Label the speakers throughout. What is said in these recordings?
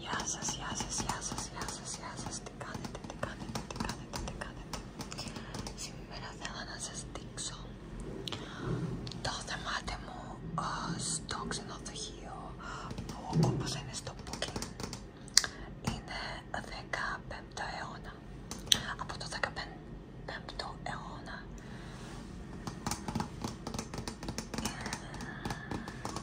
Speaker 1: Γεια σας, γεια σας, γεια σας, γεια σας, γεια σας, τι κάνετε, τι κάνετε, τι κάνετε, τι κάνετε Σήμερα θέλω να σας δείξω το θεμάτι μου στο ξενοδοχείο που όπως είναι στο booking είναι 15ο αιώνα από το 15ο αιώνα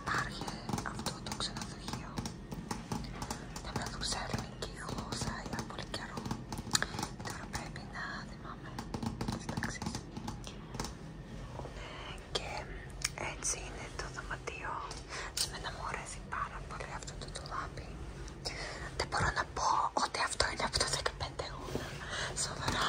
Speaker 1: Υπάρχει αυτό το ξενοδοχείο. Θα να σε ελληνική γλώσσα για πολύ καιρό. Τώρα πρέπει να θυμάμαι τις ταξίες. Ναι, και έτσι είναι το δωματίο. Εμένα μου αρέσει πάρα πολύ αυτό το τουλάπι. Δεν μπορώ να πω ότι αυτό είναι από το 15 Σοβαρά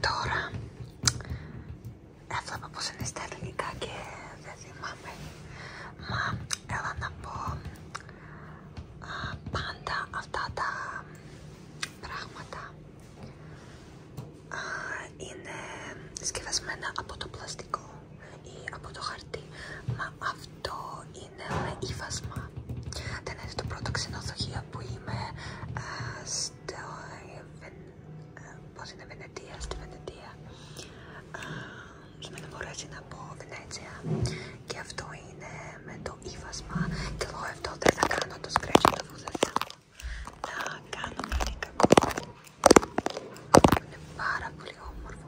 Speaker 1: Τώρα έβλεπα πως είναι ελληνικά και δεν θυμάμαι. Μα να πω πάντα αυτά τα πράγματα είναι σκευασμένα από το πλαστικό ή από το χαρτί. Μα το είναι ύφασμα. Δεν είναι το πρώτο ξενοδοχείο που είμαι στο, ε, βεν, Βενετία, στη Βενετία. Με να πω Βενέτσια και αυτό είναι με το ύφασμα και εγώ αυτό δεν θα κάνω το scratch το δεν θέλω να κάνω κάτι κακό. Είναι πάρα πολύ όμορφο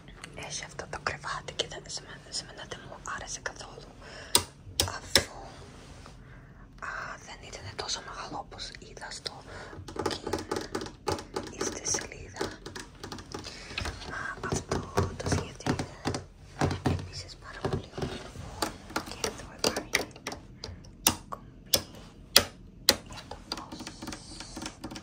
Speaker 1: Έχει αυτό το κρεβάτι και δεν, σε, σε μου άρεσε καθόλου αφού δεν ήταν τόσο μεγάλο όπως είδα στο booking ή στη σελίδα. αυτό το σχέδιο είναι επίσης πάρα πολύ ωραίο και εδώ υπάρχει κομπή για το φως.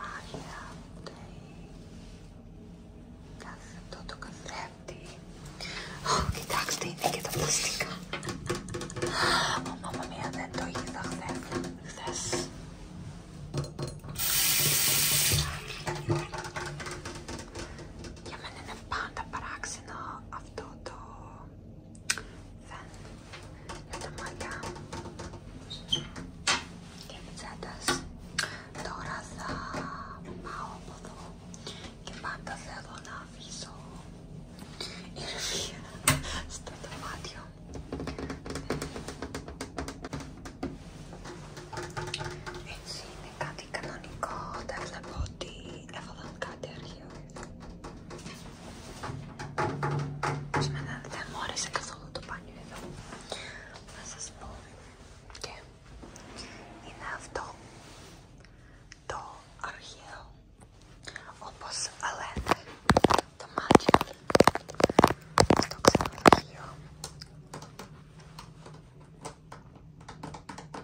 Speaker 1: μάλια κάθε αυτό το καθρέφτη κοιτάξτε είναι και τα πλαστικά ο μαμά μία δεν το είδα χθες για μένα είναι πάντα παράξενο αυτό το φαν για τα μάτια και πιτσέτες τώρα θα πάω από εδώ και πάντα θέλω να αφήσω ηρεμία στο δωμάτιο έτσι είναι κάτι κανονικό, δεν βλέπω ότι έφαγαν κάτι αρχείο. Σήμερα δεν μου άρεσε καθόλου το πάνιο εδώ. Να σας πω. Και είναι αυτό το αρχαίο. Όπως λένε το μάτι Το ξαναρχείο